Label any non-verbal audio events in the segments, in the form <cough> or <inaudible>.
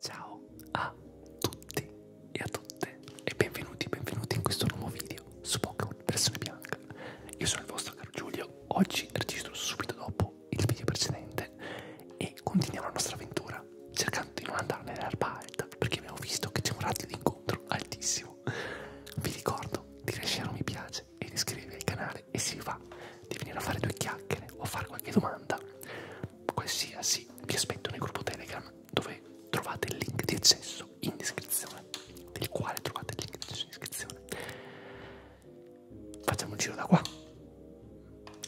Ciao a tutti e a tutte e benvenuti, benvenuti in questo nuovo video su Pokémon Persone Bianca. Io sono il vostro caro Giulio, oggi registro subito dopo il video precedente e continuiamo la nostra avventura cercando di non andare nell'erba alta perché abbiamo visto che c'è un radio di incontro altissimo. Vi ricordo di lasciare un mi piace e di iscrivervi al canale e se vi va di venire a fare due chiacchiere o a fare qualche domanda qualsiasi, vi aspetto nel gruppo Telegram dove trovate il link di accesso in descrizione, del quale trovate il link di accesso in descrizione. Facciamo un giro da qua.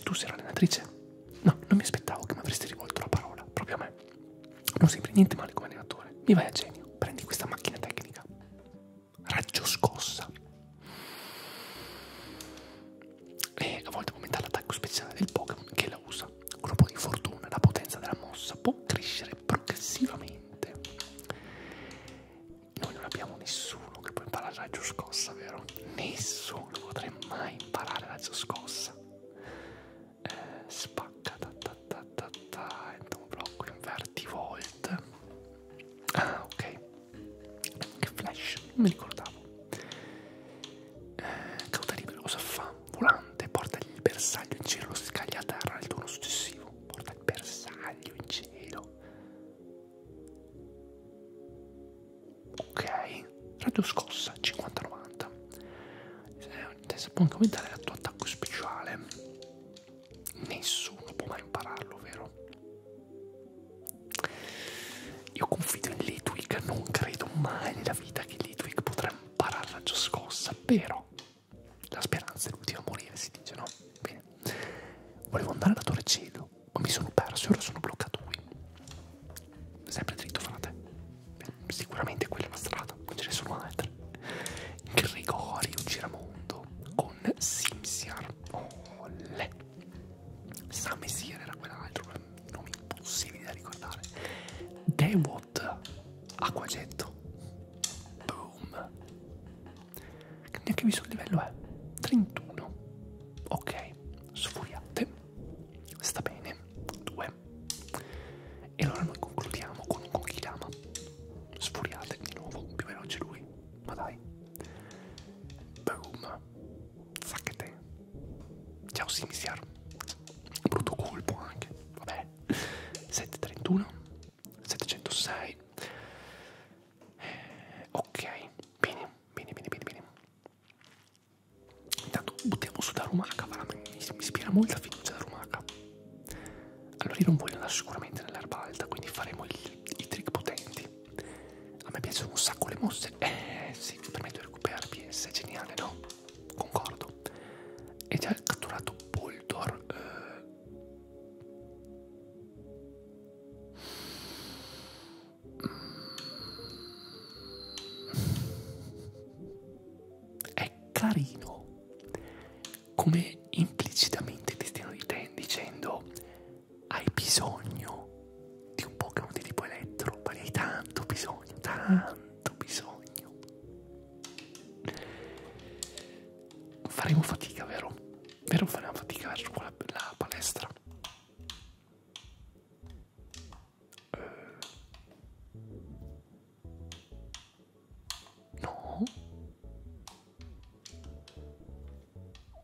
Tu sei un'allenatrice? No, non mi aspettavo che mi avresti rivolto la parola, proprio a me. Non sembri niente male come allenatore. Mi vai a genio, prendi questa macchina tecnica. Raggio scossa e a volte aumenta l'attacco speciale del Pokémon che la usa. Con un po' di fortuna la potenza della mossa può crescere progressivamente. Noi non abbiamo nessuno che può imparare raggio scossa, vero? Nessuno potrà mai imparare raggio scossa. Eh, spacca, ta ta ta ta ta, entra un blocco, inverti volt. Ah, ok. Che flash, non mi ricordavo. Eh, cauta libero, cosa fa? Volante, porta il bersaglio in cielo, lo scaglia a terra nel turno successivo. Porta il bersaglio in cielo. Ok, radio scossa 50-90. Eh, se può aumentare il tuo attacco speciale, nessuno può mai impararlo, vero? Io confido in Litwick, non credo mai nella vita che Litwick potrà imparare la gioscossa, però la speranza è l'ultima a morire, si dice, no? Bene. Volevo andare alla Torre Cielo, ma mi sono perso e ora sono bloccato qui. Sempre dritto, frate. Beh, sicuramente quella è la strada, non ce ne sono altre. Gregorio Giramondo con Simsiar. Olle. San Messier era quell'altro, nomi impossibili da ricordare. Dewot Acquagetto. Boom. Che neanche visto il livello è eh. 31. Ok, sfuriate. Sta bene. 2. E allora noi concludiamo con un Kokiyama. Sfuriate di nuovo, più veloce lui. Ma dai. Boom. Sacchete. Ciao Simisiar. Brutto colpo anche. Vabbè. 731. 706. Eh, ok. Bene, bene, bene, bene, bene. Intanto buttiamo su Darumaka. Mi, mi ispira molta fiducia Darumaka. Allora io non voglio andare sicuramente nell'erba alta, quindi faremo il, i trick potenti. A me piacciono un sacco le mosse. Eh sì, permetto di recuperare PS, geniale, no? Concordo. E già catturato Boldor. Eh... È carino come implicitamente ti stiano dicendo hai bisogno di un Pokémon di tipo elettro, ma ne hai tanto bisogno, tanto bisogno. Faremo fatica, vero? Vero faremo fatica verso la, la palestra? Eh. No?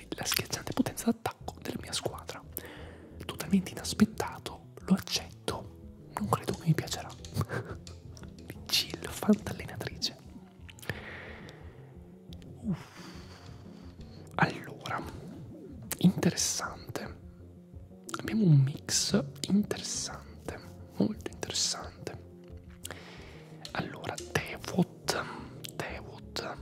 dimostri la schiacciante potenza d'attacco della mia squadra. Totalmente inaspettato, lo accetto. Non credo che mi piacerà. Chill, <laughs> fantallenatrice. Uff. Allora, interessante. Abbiamo un mix interessante, molto interessante. Allora, Devot, Devot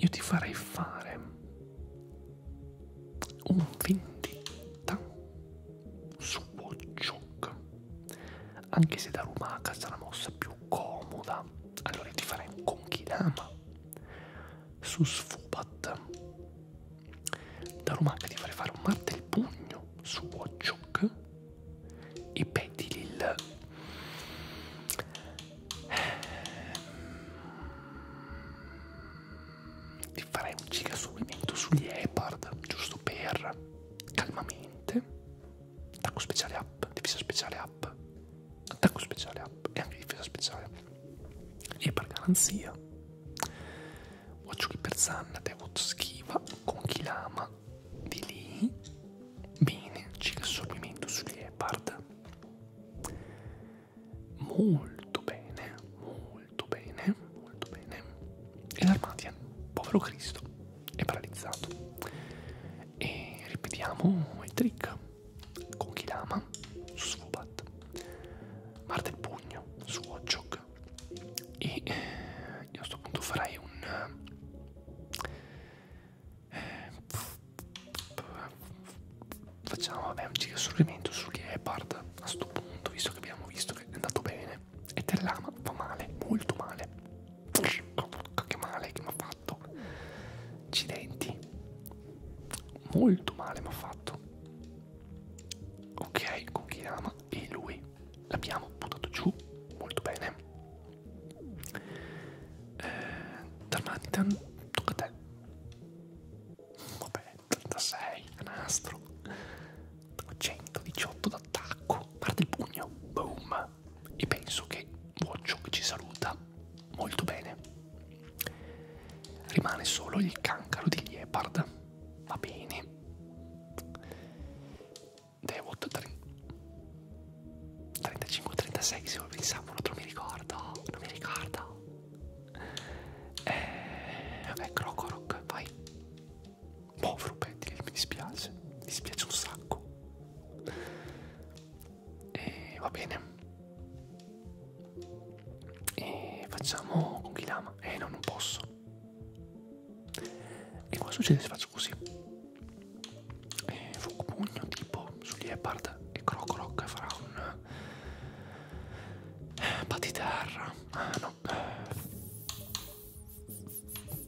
io ti farei fare un vendetta su Watchog anche se da Rumaka sarà la mossa più comoda allora io ti farei un Konkidama su Sfubat da Rumaka ti farei fare un martel pugno su Watchog i Petilil ehm, ti farei un giga subimento sugli Epard giusto per calmamente attacco speciale up difesa speciale up attacco speciale up e anche difesa speciale e per garanzia Watch per Zanna, Devot schiva con Kilama qua di lì bene c'è il sorbimento sugli leopard molto bene molto bene molto bene e l'armatian povero cristo è paralizzato e ripetiamo il trick con Kilama su Svubat parte il pugno su Watchog e eh, io a questo punto farei un eh, facciamo vabbè, un giro sul rimento su Gepard a sto punto, visto che abbiamo visto che è andato bene. E Tellama fa male, molto male. Che male che mi ha fatto. Accidenti. Molto male mi ha fatto. Ok, con Kirama e lui l'abbiamo buttato giù molto bene eh, Darmanitan, tocca a te. Vabbè, 36 a nastro. 118 d'attacco. Parte il pugno. Boom. E penso che Wachok ci saluta molto bene. Rimane solo il cancro di Liepard. Va bene. Devout 35-36 se lo pensavo, non mi ricordo, non mi ricordo. Eh, vabbè, Crocoroc, vai. Boh, Frupetti, mi dispiace, mi dispiace un sacco. E eh, va bene. E facciamo con Kilama. Eh, no, non posso. E cosa succede se faccio così? eh, Fucupugno tipo su Leopard e Crocoroc farà un eh, Patiterra ah no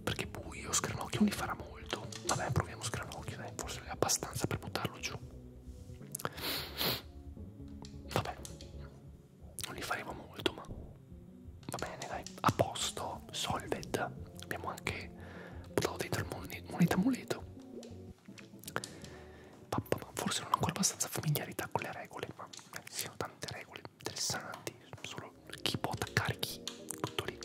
perché buio Scranocchio li farà molto vabbè proviamo Scranocchio dai forse è abbastanza per buttarlo giù vabbè non li faremo molto ma va bene dai a posto abbiamo Solved, abbiamo anche buttato dentro il moneta amuleto. Papà, ma forse non ho ancora abbastanza familiarità con le regole, ma ci sono tante regole interessanti, solo chi può attaccare chi, tutto lì.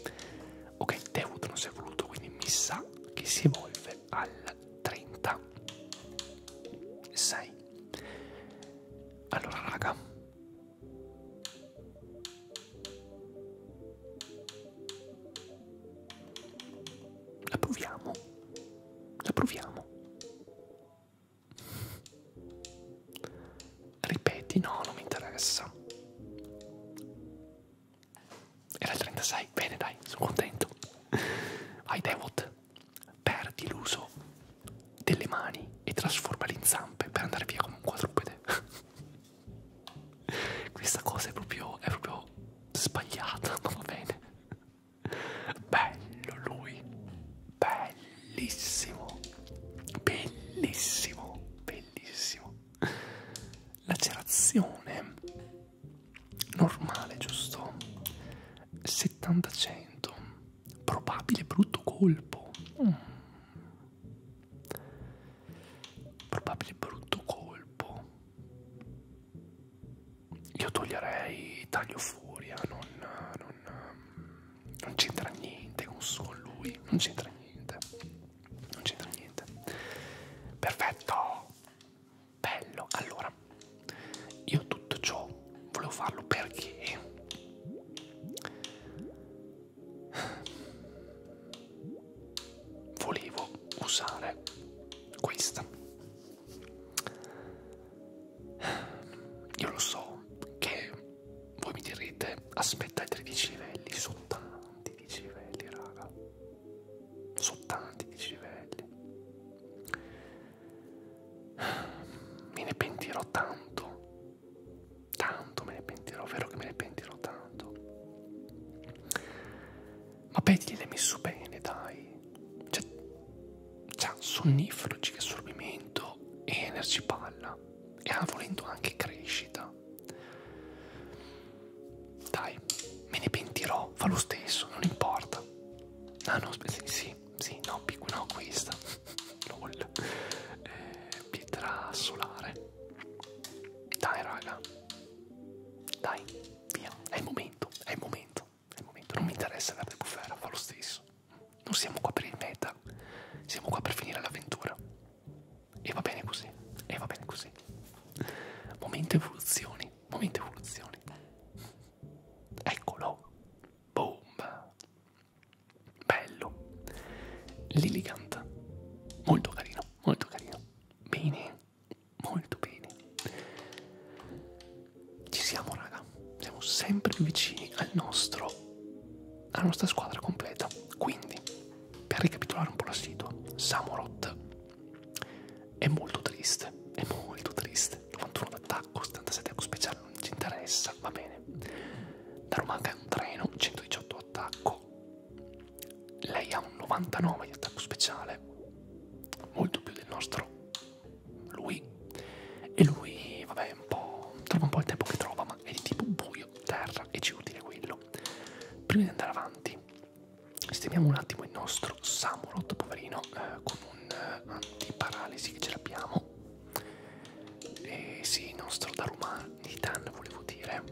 Ok, Devuto non si è voluto, quindi mi sa che si evolve al 36. Allora raga, la proviamo. La proviamo. Ripeti, no, non mi interessa. Era il 36, bene dai, sono contento. Vai Devot, perdi l'uso delle mani e trasformali in zampe per andare via come un quadrupede. Questa cosa è proprio, è proprio sbagliata, ma <laughs> va bene. Bello lui, bellissimo, bellissimo, bellissimo. Lacerazione normale, giusto? 70-100, probabile brutto colpo. Mm. Probabile brutto colpo. Io toglierei taglio furia, eh, non, non, non c'entra niente con solo lui, non c'entra niente, non c'entra niente. Perfetto, bello. Allora, io tutto ciò volevo farlo perché volevo usare questa io lo so che voi mi direte aspetta i 13 livelli sono tanti 10 livelli raga sono tanti 10 livelli me ne pentirò tanto tanto me ne pentirò, vero che me ne pentirò tanto. Ma Betty l'hai messo bene, dai. Cioè, c'ha cioè, sonnifero, che assorbimento e energy palla. E ha volendo anche crescita. Dai, me ne pentirò, fa lo stesso, non importa. Ah no, sì, sì, sì no, no, questa. <laughs> LOL. Eh, pietra solare. Dai raga. Dai, via. È il momento, è il momento, è il momento. Non mi interessa verde bufera, fa lo stesso. Non siamo qua per il meta, siamo qua per finire l'avventura. E va bene così, e va bene così. Momento evoluzioni, momento evoluzioni. Eccolo. Boom bello l'elegant molto carino molto carino bene molto bene ci siamo raga siamo sempre più vicini al nostro alla nostra squadra completa quindi per ricapitolare un po' la situa Samurott è molto triste è molto triste 91 d'attacco 77 attacco speciale non ci interessa va bene da Romanca è un treno 118 attacco lei ha un 99 di attacco speciale, molto più del nostro. Lui. E lui, vabbè, un po'. trova un po' il tempo che trova, ma è di tipo buio, terra e ci utile quello. Prima di andare avanti, sistemiamo un attimo il nostro Samurot, poverino, eh, con un eh, antiparalisi che ce l'abbiamo. E sì, il nostro Daruman Nitan, volevo dire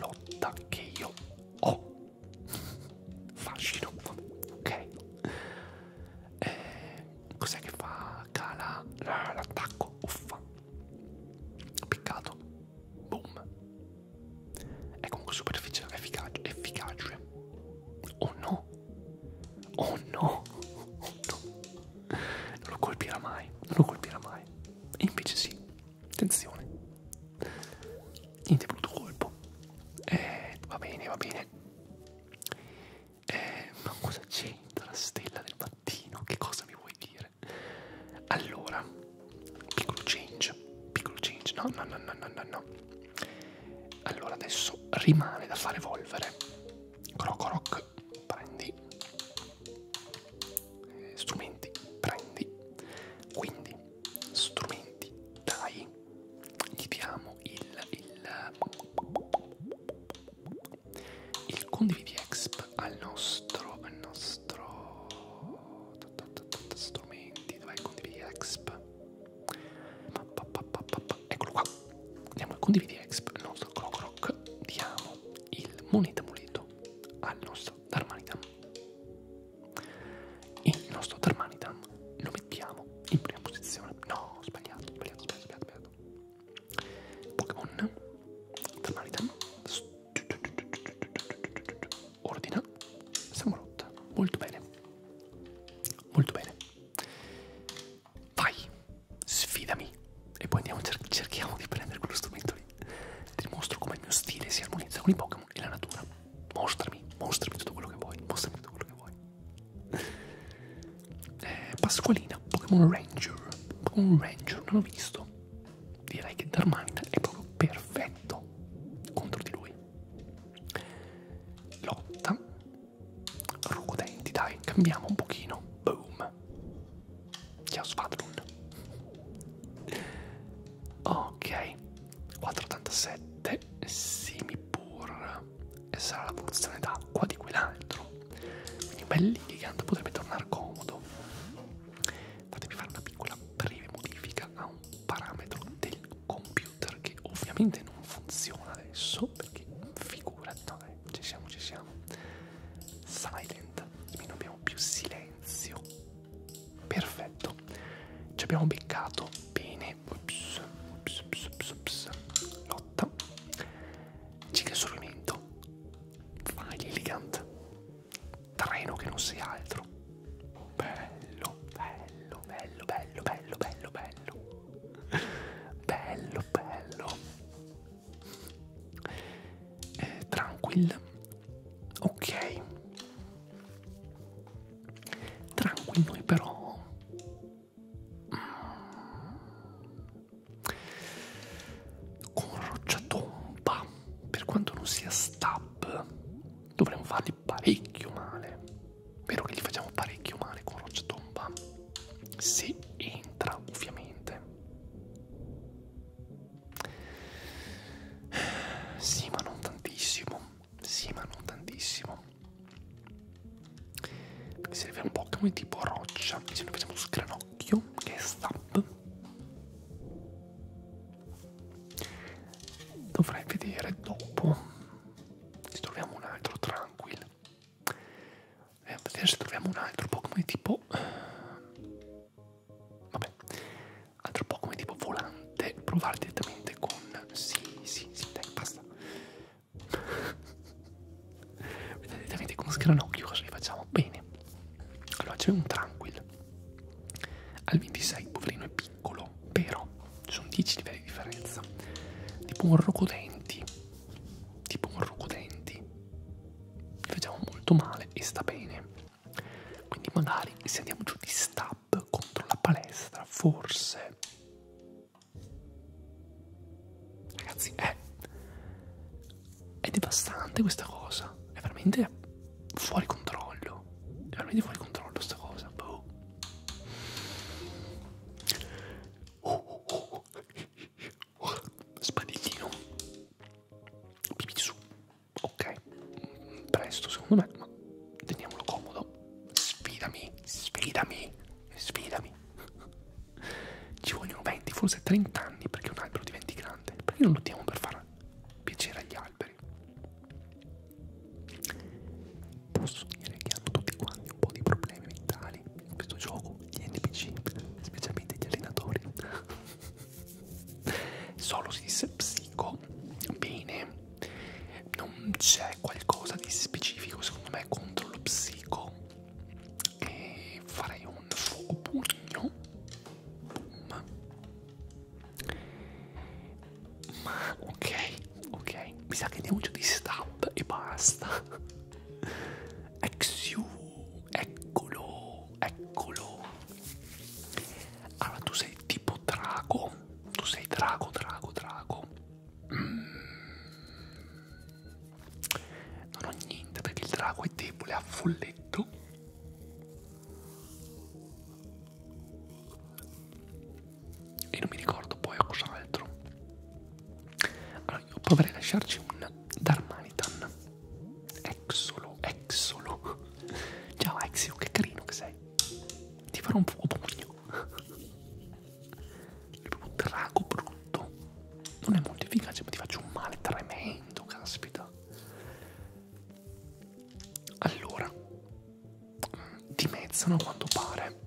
lotta che io ho <laughs> fascino ok eh, cos'è che fa cala l'attacco uffa piccato boom è comunque superficie efficace efficace oh no oh no oh <laughs> no non lo colpirà mai non lo colpirà mai e invece sì Attenzione. Niente brutto colpo. Eh, va bene, va bene. Eh, ma cosa c'entra la stella del mattino? Che cosa mi vuoi dire? Allora, piccolo change, piccolo change. No, no, no, no, no, no. no. Allora adesso rimane da fare evolvere. Crocoroc, prendi strumenti prendi quindi strumenti dai gli diamo il il, il condividi exp al nostro al nostro strumenti dov'è il condividi exp eccolo qua andiamo al condividi exp il nostro clock rock diamo il moneta muleto al nostro nostro Darmanitan. Il nostro Darmanitan lo mettiamo in prima posizione. No, sbagliato, sbagliato, sbagliato, sbagliato. Pokémon Darmanitan ordina Samurott. Molto bene. Molto bene. Vai, sfidami e poi andiamo cer cerchiamo di prendere quello strumento lì ti mostro come il mio stile si armonizza con i Pokémon e la natura. Mostrami, mostrami tutto quello che vuoi, mostrami tutto quello che vuoi. <laughs> Eh, Pasqualina, Pokémon Ranger. Pokémon Ranger, non l'ho visto. Direi che Darmanitan è proprio perfetto contro di lui. Lotta. Ruodenti, dai, cambiamo un pochino. Boom. Io Squadron. Ok, 487 Simipur. E sarà la produzione d'acqua di quell'altro. Quindi un bel gigante potrebbe tornare comodo. Fatemi fare una piccola breve modifica a un parametro del computer che ovviamente non funziona adesso perché figurati, no dai, ci siamo, ci siamo. Silent, quindi non abbiamo più silenzio silenzio. Perfetto. Ci abbiamo beccato. Bene. Ups, ups, ups, ups, ups. Lotta. Ciclo sorrimento. Vai l'elegant. Treno che non sia altro. Bello, bello, bello, bello, bello, bello, bello. <laughs> Bello, bello eh, Tranquil ok Tranquil noi però mm. con Rocciatomba per quanto non sia stab dovremmo fargli parecchio male vero che gli facciamo parecchio male con Rocciatomba se entra ovviamente sì, ma non tantissimo. Sì, ma non tantissimo. Perché serve un Pokémon tipo roccia. Se noi facciamo su granocchio, che è stamp, dovrei vedere dopo. Se troviamo un altro tranquillo. Eh, vedere se troviamo un altro Pokémon tipo. Eh, Vabbè, altro po' come tipo volante, provare direttamente con... Sì, sì, sì, dai, basta. <laughs> Vedete direttamente con Scranocchio cosa li facciamo? Bene. Allora, c'è un Tranquil. Al 26, poverino, è piccolo, però ci sono 10 livelli di differenza. Tipo un Rocodenti. Tipo un Rocodenti facciamo molto male e sta bene quindi magari se andiamo giù di stab contro la palestra forse ragazzi è è devastante questa cosa è veramente fuori controllo è veramente fuori controllo questa cosa boh. oh, oh, oh. oh. Spadiglino. Pipizzu. Ok. Presto, secondo me, ma teniamolo comodo. Sfidami, sfidami, sfidami. Ci vogliono 20, forse 30 anni perché un albero diventi grande. Perché non lottiamo per far piacere agli alberi? Posso dire che hanno tutti quanti un po' di problemi mentali in questo gioco, gli NPC, specialmente gli allenatori. Solo si disse psico. Bene. Non c'è qualcosa di specifico secondo me contro lo psico. E farei un fuoco pugno. Boom. Ma ok, ok. Mi sa che andiamo giù di stab e basta. Exiu Eccolo, eccolo. Allora, tu sei tipo drago. Tu sei drago, drago, drago. Mm. Non ho niente perché il drago è debole a folletto. E non mi ricordo poi a cos'altro allora io proverei a lasciarci un Darmanitan Exolo, Exolo Ciao Exio, che carino che sei Ti farò un fuoco pugno un drago brutto Non è molto efficace ma ti faccio un male tremendo, caspita Allora Dimezzano a quanto pare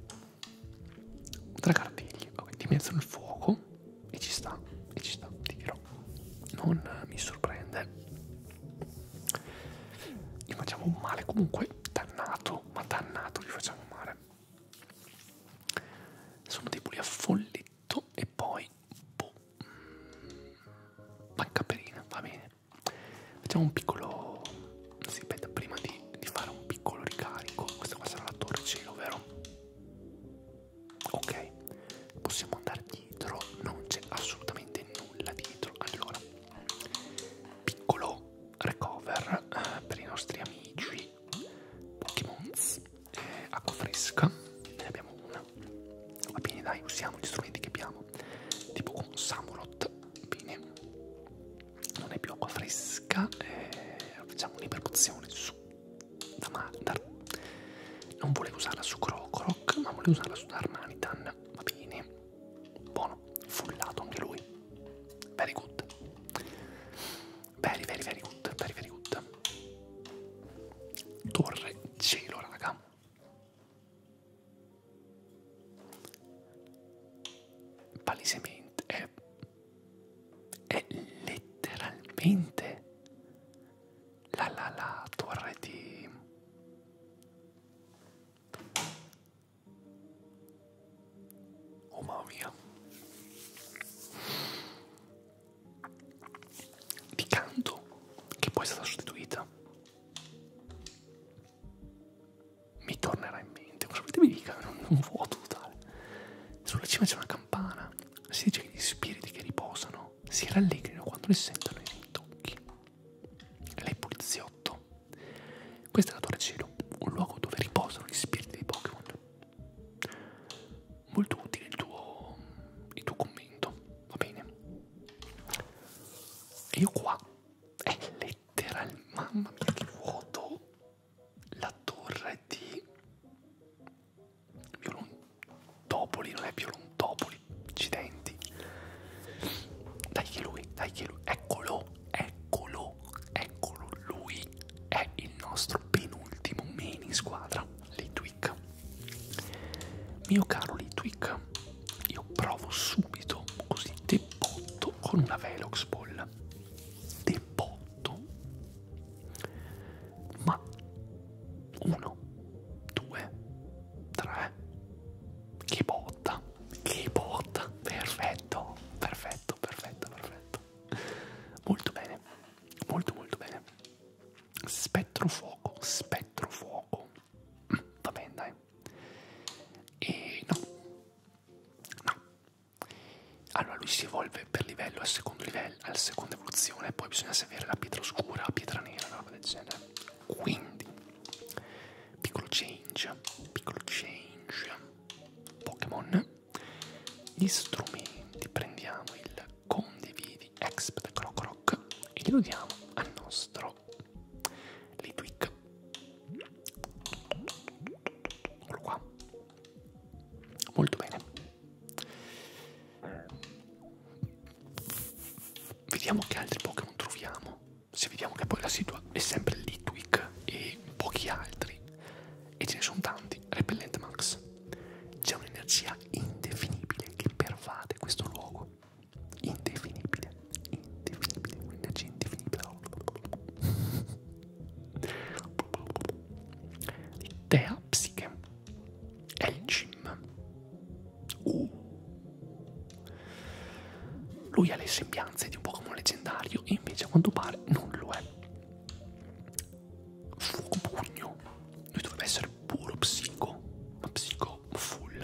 Tre cartigli, ok, dimezzano il fuoco e ci sta, e ci sta, ti dirò, non mi sorprende. Gli facciamo male comunque, dannato, ma dannato gli facciamo male. Sono deboli a folletto e poi, boh, manca mm, perina, va bene. Facciamo un piccolo, si aspetta, prima di, di fare un piccolo ricarico, questa qua sarà la torre cielo, vero? ok possiamo andare dietro non c'è assolutamente nulla dietro allora piccolo recover eh, per i nostri amici Pokémon eh, acqua fresca ne abbiamo una va bene dai usiamo gli strumenti che abbiamo tipo con Samurot bene non è più acqua fresca eh, facciamo un'ipercuzione su da, ma, da non volevo usarla su Crocroc ma volevo usarla su Darmanitan va bene buono fullato anche lui very good very very very good very very good torre cielo raga palesemente è, è letteralmente la la la torre di oh mamma mia di canto che poi è stata sostituita mi tornerà in mente, cosa volete mi dica, un vuoto totale. Sulla cima c'è una campana, si dice che gli spiriti che riposano si rallegrino quando li sentono i rintocchi. Lei poliziotto. Questo è la Torre Cielo, un luogo dove riposano gli spiriti dei Pokémon. Molto utile il tuo, il tuo commento, va bene? E io qua è letteralmente, mamma mia che vuoto, la torre di Violontopoli, non è Violontopoli, accidenti. Dai che lui, dai che lui, eccolo, eccolo, eccolo, lui è il nostro penultimo main in squadra, Litwick. Mio caro Litwick, io provo subito, così debotto con una Velox Ball. Debotto ma uno, due, tre, che botta, che botta, perfetto, perfetto, perfetto, perfetto, molto bene, molto molto bene, spettro fuoco, spettro fuoco, mm, va bene dai, e no, no, allora lui si evolve per livello al secondo livello, alla seconda evoluzione, poi bisogna avere la pietra oscura, la pietra nera, una roba del genere. Quindi, piccolo change, piccolo change, Pokémon. Gli strumenti, prendiamo il condividi Expert Crocroc e glielo diamo al nostro Litwick. Eccolo qua. Molto bene. Vediamo che altri Pokémon troviamo. Se vediamo che poi la situa è sempre Litwick e pochi altri, e ce ne sono tanti, Repellent Max. C'è un'energia indefinibile che pervade questo luogo. Indefinibile, indefinibile, un'energia indefinibile. <laughs> Tea capsiche e il gym. Uh. Lui ha le sembianze di un Pokémon leggendario e invece a quanto pare non lo è. Fuoco pugno. Lui dovrebbe essere puro psico, ma psico full.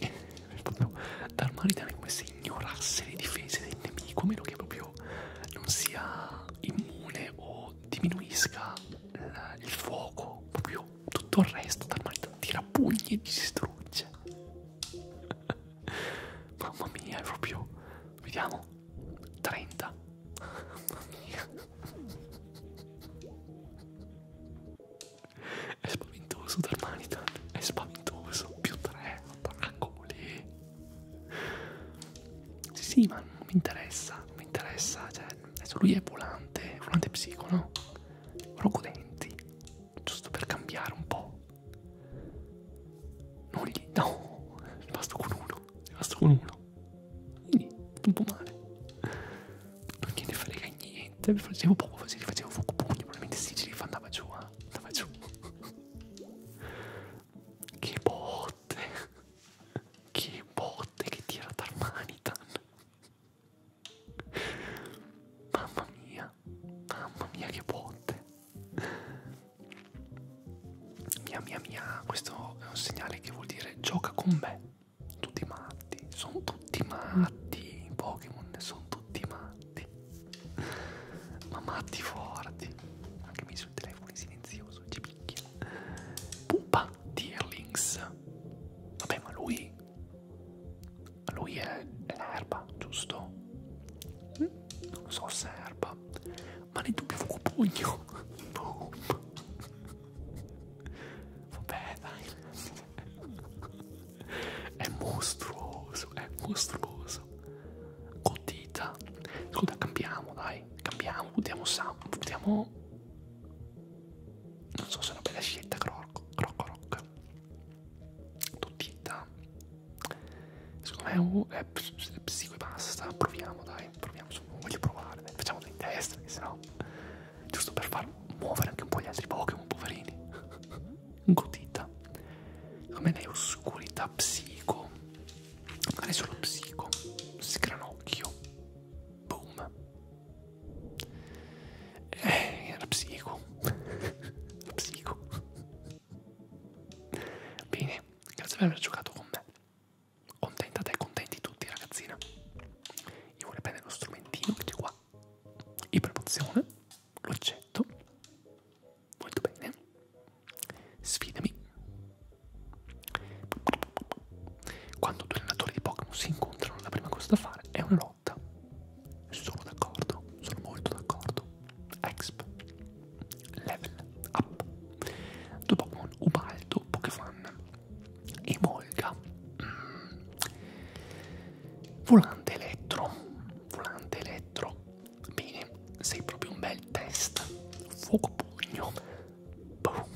<laughs> Proprio da ormai come se ignorasse le difese del nemico, a meno che proprio non sia immune o diminuisca il, il fuoco, proprio tutto il resto dal male tira pugni e distrugge. <laughs> Mamma mia, è proprio. Vediamo. 30. Mamma mia. <laughs> È spaventoso Darmanitan, è spaventoso, più 3, attacco lì. Sì, sì, ma non mi interessa, non mi interessa. Cioè, adesso lui è volante, volante psico, no? Rogodenti, giusto per cambiare un po'. Non gli, no, ne basto con uno, ne basto con uno. Quindi, un po' male. Non gliene frega niente, mi facevo poco, se li facevo fuoco pugni, probabilmente sì, ce li andava giù, eh? andava giù. Che botte! <laughs> Che botte che tira Tarmanitan! Mamma mia! Mamma mia che botte! Mia mia mia, questo è un segnale che vuol dire gioca con me. Tutti matti, sono tutti matti, i Pokémon sono tutti matti. Ma matti forti. Anche mi sul telefono in silenzioso, ci picchia. Pupa Dearlings. Vabbè, ma lui... Lui è, è erba, giusto? Non lo so se è erba, ma ne dubbio fuoco pugno. Boom. Vabbè, dai. È mostruoso, è mostruoso. Cotita. Ascolta, cambiamo, dai. Cambiamo, votiamo Sam. Votiamo... Non so se è una bella scelta, Crocco, Crocco, Rock. Totita. Secondo me è, è psico e basta. Proviamo, dai. Proviamo, non voglio provare. Dai. Facciamo dai in testa, che sennò... Giusto per far muovere anche un po' gli altri Pokémon, poverini. <laughs> Gotita. Secondo me ne è oscurità psico. Adesso lo psico, sgranocchio, boom. Eh, la psico, la <laughs> psico. Bene, grazie per aver giocato con me. Contenta te, contenti tutti ragazzina. Io vorrei prendere lo strumentino che c'è qua. Ipermozione, l'oggetto Molto bene. Sfidami. Quando due allenatori di Pokémon si incontrano, la prima cosa da fare è una lotta. Sono d'accordo, sono molto d'accordo. Exp. Level up. Due Pokémon, Ubaldo, Pokéfan e Molga. Mm. Volante elettro. Volante elettro. Bene, sei proprio un bel test. Fuoco pugno. Boom.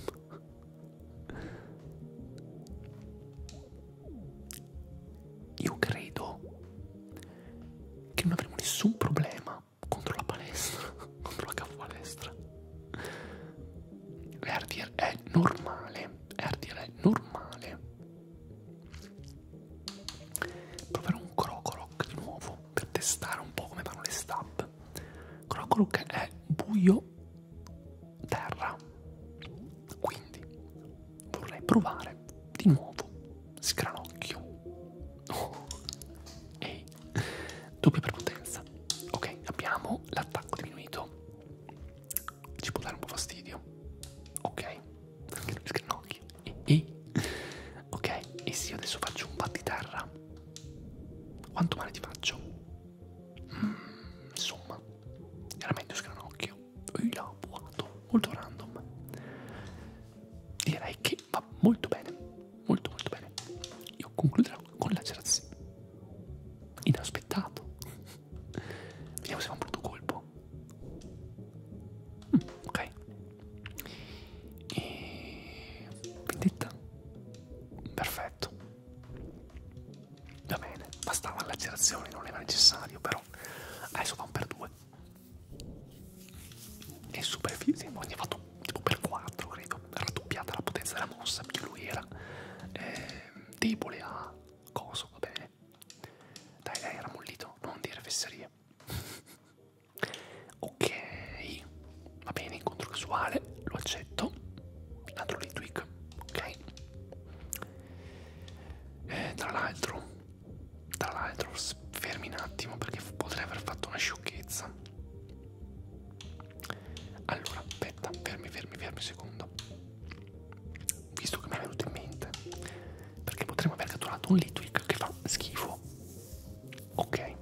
Io credo che non avremo nessun problema contro la palestra, <laughs> contro la capo palestra. RTR è normale, RTR è normale. Proverò un crocoroc di nuovo per testare un po' come vanno le stab. Crocorook è buio terra, quindi vorrei provare di nuovo scranocchio. Oh. Ehi, doppia prepotenza. Ok, abbiamo l'attacco diminuito. Ci può dare un po' fastidio. Ok, scranocchio. Ehi, ok? E se io adesso faccio un di terra, quanto male ti faccio? Mm, insomma, era meglio sgranocchio, io buono, molto random. Direi che va molto bene, molto molto bene. Io concluderò con la Gerazzi. Inaspettato. <laughs> Vediamo se fa un brutto colpo. Mm, ok, e vendetta perfetto va bene bastava l'agerazione non era necessario però adesso va un per due e super abbiamo fatto tipo per 4 credo raddoppiata la potenza della mossa perché lui era eh, debole a coso va bene dai dai era mollito non dire fesserie <laughs> Ok, va bene, incontro casuale, lo accetto. L'altro Litwick, ok. Eh, tra l'altro, tra l'altro, fermi un attimo perché potrei aver fatto una sciocchezza. Allora, aspetta, fermi, fermi, fermi un secondo. Visto che mi è venuto in mente, perché potremmo aver catturato un Litwick che fa schifo ok eh,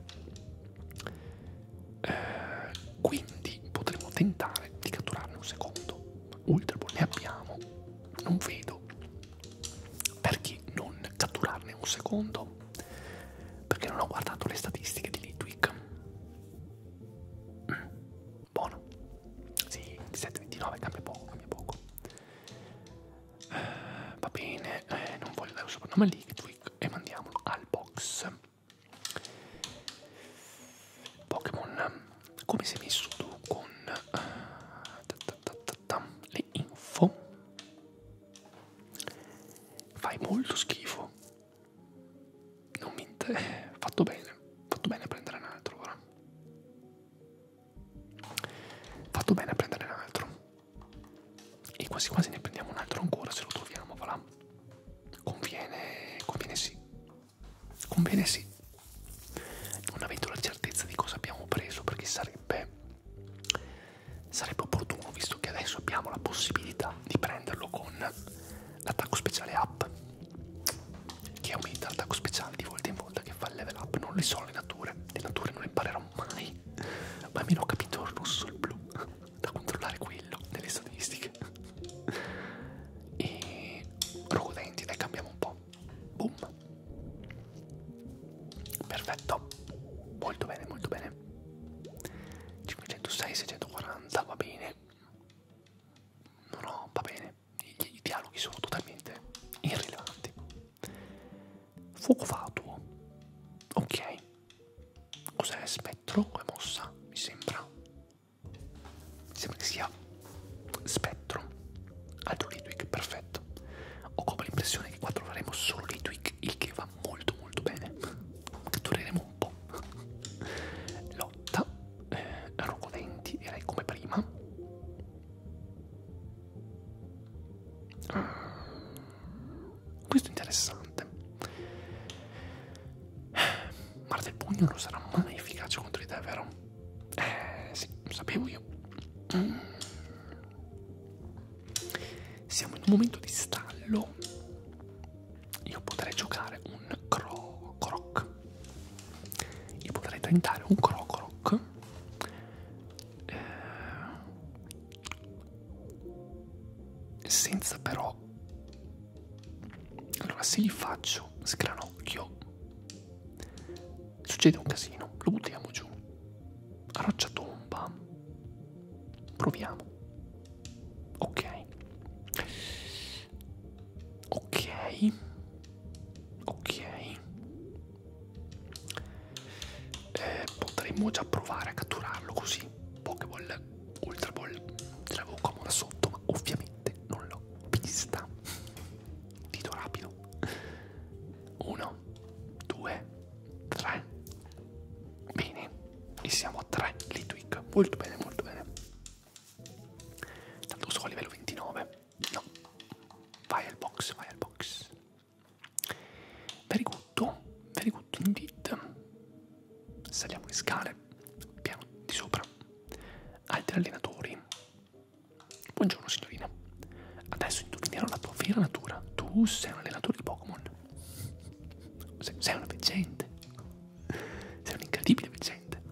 quindi potremmo tentare di catturarne un secondo ultra ball ne abbiamo non vedo perché non catturarne un secondo perché non ho guardato le statistiche di Litwick mm, buono sì 17 29 cambia poco cambia poco eh, va bene, eh, non voglio dare un soprannome a Liquidwick e mandiamolo al box. Pokémon, come si è messo tu con eh, ta ta ta ta, le info? Fai molto schifo. Non mi inter... Eh, fatto bene, fatto bene a prendere un altro ora. Fatto bene a prendere un altro. E quasi quasi ne prendiamo un altro ancora se lo troviamo, voilà. Conviene, conviene sì. Conviene sì. Non avendo la certezza di cosa abbiamo preso, perché sarebbe sarebbe opportuno, visto che adesso abbiamo la possibilità di prenderlo con l'attacco speciale up, che aumenta l'attacco speciale di volta in volta che fa il level up, non le so le nature, le nature non imparerò succederà mai. Ma almeno ho capito il rosso e il blu, da controllare quello nelle statistiche. E Rogodenti, dai, cambiamo un po'. Boom. Perfetto. Molto bene, molto bene. 506, 640, va bene. No, no, va bene. I, i dialoghi sono totalmente irrilevanti. Fuoco fatuo. Ok. Cos'è spettro come mossa? Mi sembra. Mi sembra che sia spettro. Altro Litwick, perfetto. Ho come l'impressione che qua troveremo solo Litwick, il che va molto molto bene. Cattureremo un po'. Lotta, eh, Rogodenti, direi come prima. Ah, questo è interessante. Guarda, il pugno non sarà mai efficace contro di te, vero? Eh, sì, lo sapevo io. Mm. Siamo in un momento di stallo. Io potrei giocare un cro croc. Io potrei tentare un crocroc eh, senza però allora se gli faccio sgranocchio succede un casino lo buttiamo giù a roccia tomba proviamo ok ok ok eh, potremmo già provare a catturarlo così Pokéball, Ultra Ball, ce l'avevo comoda sotto ma ovviamente non l'ho vista dito rapido 1 2 3 bene e siamo a 3 Litwick molto bene molto bene tanto sono a livello 29 no vai al box vai al box Very good, very good indeed. Saliamo le scale, piano di sopra. Altri allenatori. Buongiorno signorina. Adesso indovinerò la tua vera natura. Tu sei un allenatore di Pokémon. Sei, sei una veggente. Sei un'incredibile veggente.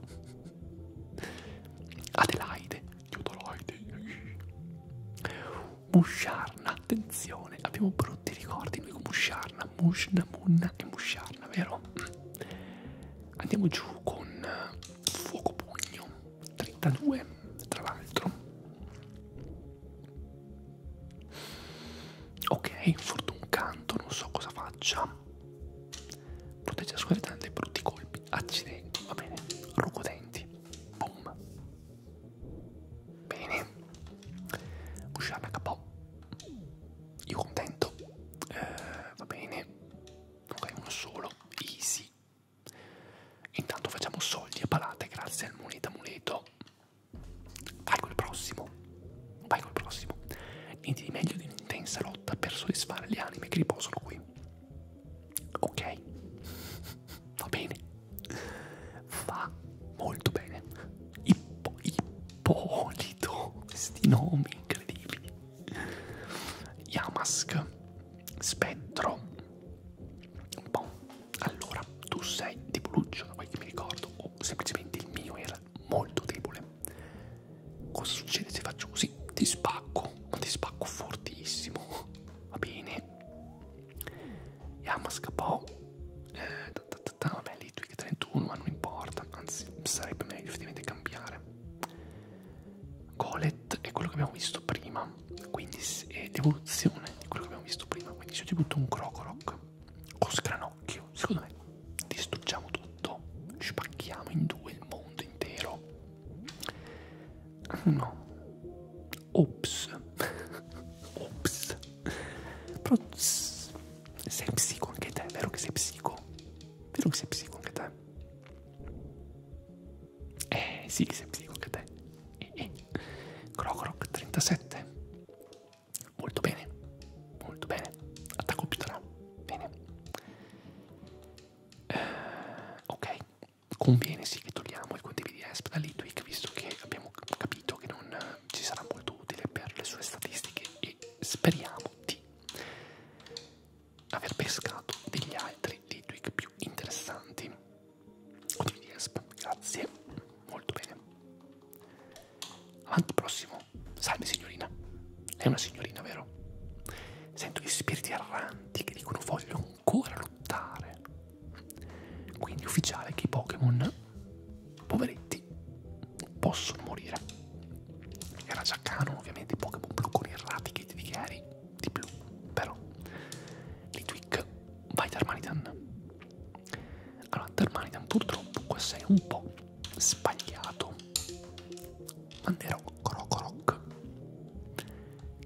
Adelaide. Teodolaide. Musharna, attenzione, abbiamo brutti ricordi noi con Musharna, Mushna, Munna e Musharna, vero? Andiamo giù con eh, Fuoco Pugno, 32 tra l'altro. Ok, Fortun Canto, non so cosa faccia. Protegge la sua vita dai brutti colpi, accidenti, va bene, Rucodenti. Boom. Bene. Busciarna KO. Io contento. Eh, va bene. Ok, uno solo. Easy. Intanto facciamo soldi e palate grazie al moneta amuleto. Vai col prossimo. Vai col prossimo. Niente di meglio di un'intensa lotta per soddisfare le anime che riposano qui. Ok, va bene, va molto bene. Ippo, Ippolito, questi nomi incredibili. Yamask, Spettro. Bon, allora tu sei di Boluccio, da quel che mi ricordo, o semplicemente il mio era molto debole. Cosa succede se faccio così? Ti spacco, ma ti spacco fortissimo. Va bene, Yamas KO eh, ta ta ta ta, vabbè Litwick 31 ma non importa anzi sarebbe meglio effettivamente cambiare Golet è quello che abbiamo visto prima quindi è l'evoluzione di quello che abbiamo visto prima quindi se io ti butto un Crocorok con Scranocchio secondo me distruggiamo tutto spacchiamo in due il mondo intero no ops ops però sei psico anche te vero che sei psico vero che sei psico anche te eh sì che sei psico anche te eh, eh. Crocoroc 37 molto bene molto bene attacco più bene eh, ok conviene sì che togliamo il condividi ESP da Litwick visto che abbiamo capito che non eh, ci sarà molto utile per le sue statistiche e speriamo di aver pescato degli altri Litwick più interessanti. Condividi ESP, grazie, molto bene. Avanti prossimo, salve signorina, è una signorina vero? Sento gli spiriti erranti che dicono voglio ancora trattare. Quindi ufficiale che i Pokémon poveretti possono morire. Era già cano, ovviamente, i Pokémon blu con il Raticate di Gary eh, di blu, però. Litwick, vai Darmanitan. Allora, Darmanitan purtroppo qua sei un po' sbagliato. Manderò Krokorokorok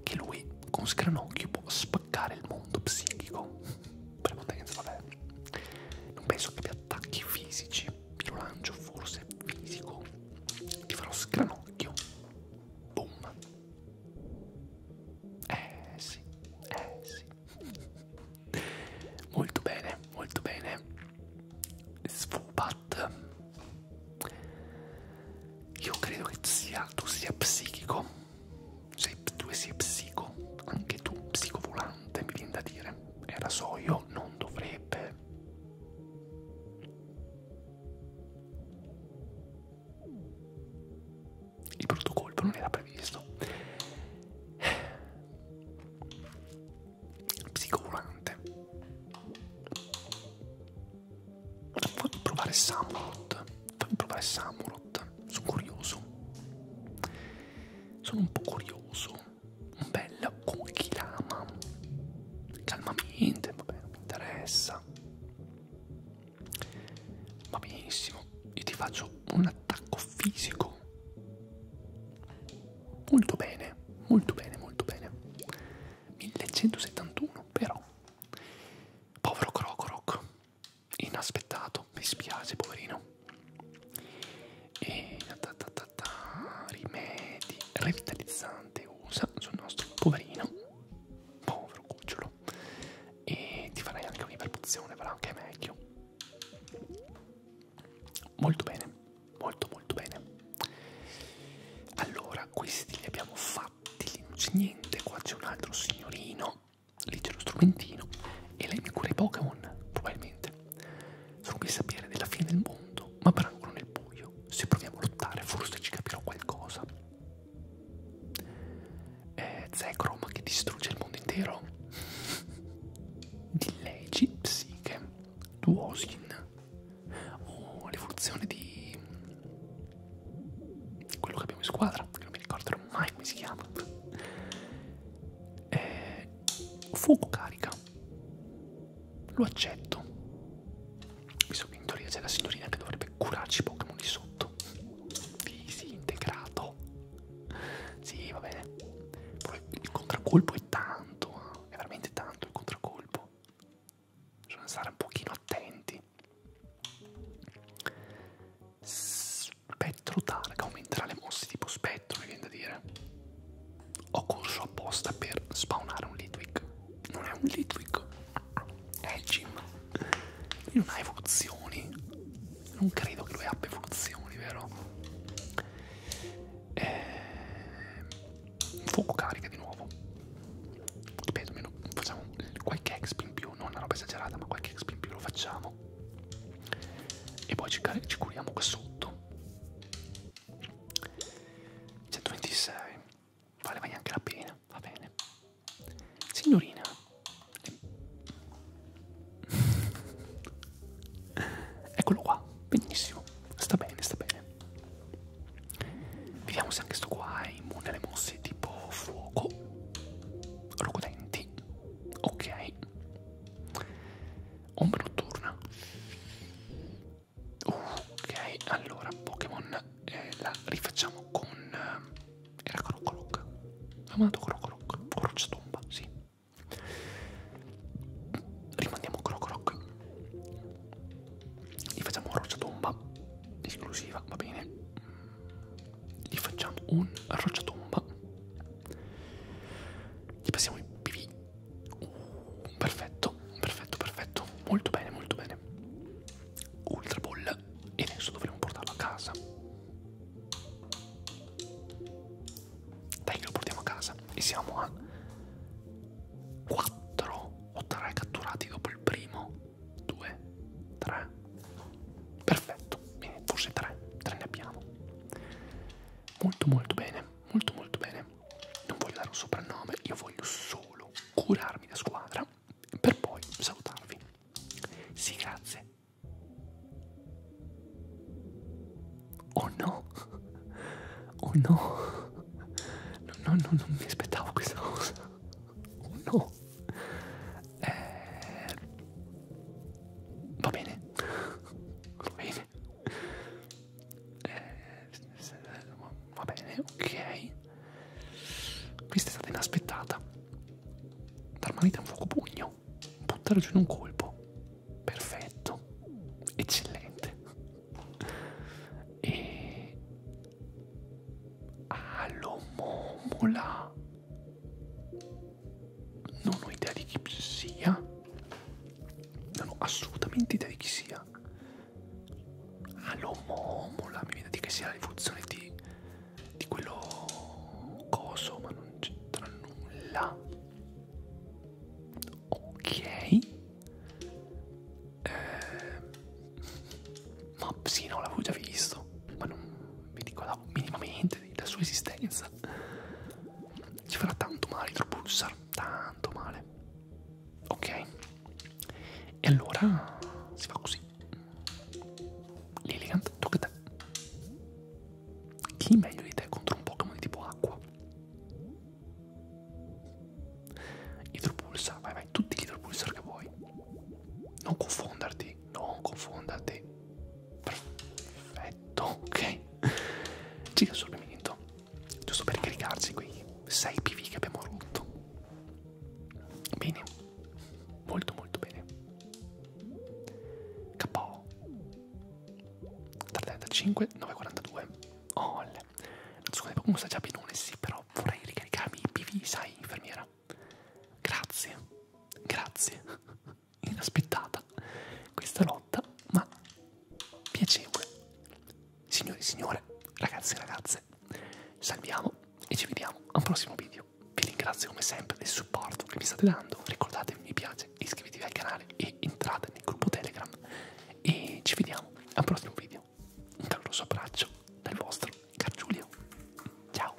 che lui con Scranocchio può spaccare il mondo psichico prepotenza vabbè non penso che abbia attacchi fisici lo lancio forse fisico ti farò Scranocchio boom eh sì eh sì <laughs> molto bene molto bene Sfubat io credo che sia, tu sia psichico, sei, tu sei psico, anche tu, psicovolante, mi viene da dire. E la so, io non dovrebbe. Il brutto colpo non era previsto. Psicovolante. Voglio provare Samurot. Voglio provare Samurot. Sono curioso. Sono un po' curioso. Un bel Kokilama. Calmamente, vabbè, non mi interessa. Va benissimo. Io ti faccio un attacco fisico. Molto bene, molto bene, molto bene. 1171, però Povero Krokorok, inaspettato, mi spiace poverino. E ta ta ta ta, rimedi revitalizzante usa sul nostro poverino, povero cucciolo. E ti farei anche un'iperpozione, farà anche meglio. Molto bene, molto molto bene. Allora, questi li abbiamo fatti infatti lì non c'è niente, qua c'è un altro signorino, lì c'è lo strumentino e lei mi cura i Pokémon, probabilmente. Sono qui a sapere della fine del mondo, ma per ancora nel buio. Se proviamo a lottare forse ci capirò qualcosa. Eh, Zekrom che distrugge il mondo intero. <laughs> Di leggi psiche. Duosin o oh, l'evoluzione di quello che abbiamo in squadra, che non mi ricorderò mai come si chiama. Eh, fuoco carica, lo accetto. Visto che in teoria c'è la signorina che dovrebbe curarci i Pokémon lì sotto. Easy, integrato. Sì, va bene. Però il contraccolpo è tanto, eh. è veramente tanto il contraccolpo bisogna stare un pochino attenti. Spettro Targa aumenterà le mosse tipo spettro, mi viene da dire. Ho corso apposta per spawnare un Litwick. Non è un Litwick, è Jim. Lui non ha evoluzioni. Non credo che lui abbia evoluzioni, vero? Eh, fuoco carica di nuovo ripeto meno, facciamo qualche exp in più non una roba esagerata ma qualche exp in più lo facciamo e poi ci, ci curiamo qua sotto 126 vale ma neanche la pena va bene signorina ehm. <laughs> eccolo qua benissimo sta bene sta bene Vediamo se anche sto qua è immune alle mosse tipo fuoco. Rocodenti. Ok. Ombra notturna. Ok, allora Pokémon eh, la rifacciamo con... Eh, era Crocoroc. Ho mandato Crocoroc. Crociatomba, sì. Rimandiamo Crocoroc gli facciamo un rocciatomba esclusiva, va bene? Gli facciamo un rocciatomba, gli passiamo i pv, uh, perfetto, perfetto, perfetto, molto bene, molto bene. Ultra ball e adesso dovremo portarlo a casa. Dai che lo portiamo a casa e siamo a 4 o tre catturati dopo il primo? Due? Tre? Perfetto, bene, forse tre, tre ne abbiamo. Molto molto bene, molto molto bene. Non voglio dare un soprannome, io voglio solo curarmi da squadra per poi salutarvi. Sì, grazie. Oh no! Oh no! non, non, non mi aspettavo questa cosa. Oh no. Eh, va bene. Va bene. Eh, va bene, ok. Questa è stata inaspettata. Dar manita un fuoco pugno. Buttare giù in un colpo. Perfetto. Eccellente e Alomomola non ho idea di chi sia non ho assolutamente idea di chi sia Alomomola mi viene di che sia la rivoluzione di, di quello coso ma non c'entra nulla ok eh, ma sì no l'avevo già visto ma non mi ricordavo minimamente della sua esistenza ci farà tanto male Hydropulsar tanto male ok e allora si fa così Lilligant tocca a te chi meglio di te contro un Pokémon di tipo acqua Idropulsa, vai vai, tutti gli idropulsar che vuoi. Non confonderti, non confonderti. Perfetto, ok. Giga assorbimento, giusto per caricarci quei 6 PV che abbiamo rotto. Bene, molto molto bene. KO. 335, 942. Oh, la squadra di Pokémon sta già benone, sì, però no, vorrei ricaricarmi i PV, sai, infermiera. Grazie, grazie. <laughs> Inaspettata questa lotta, ma piacevole. Signori e signore, ragazzi e ragazze, salviamo e ci vediamo a un prossimo video. Vi ringrazio come sempre del supporto che mi state dando. Ricordatevi mi piace, iscrivetevi al canale e entrate nel gruppo Telegram. E ci vediamo al prossimo video mio un caloroso abbraccio dal vostro Car Giulio. Ciao!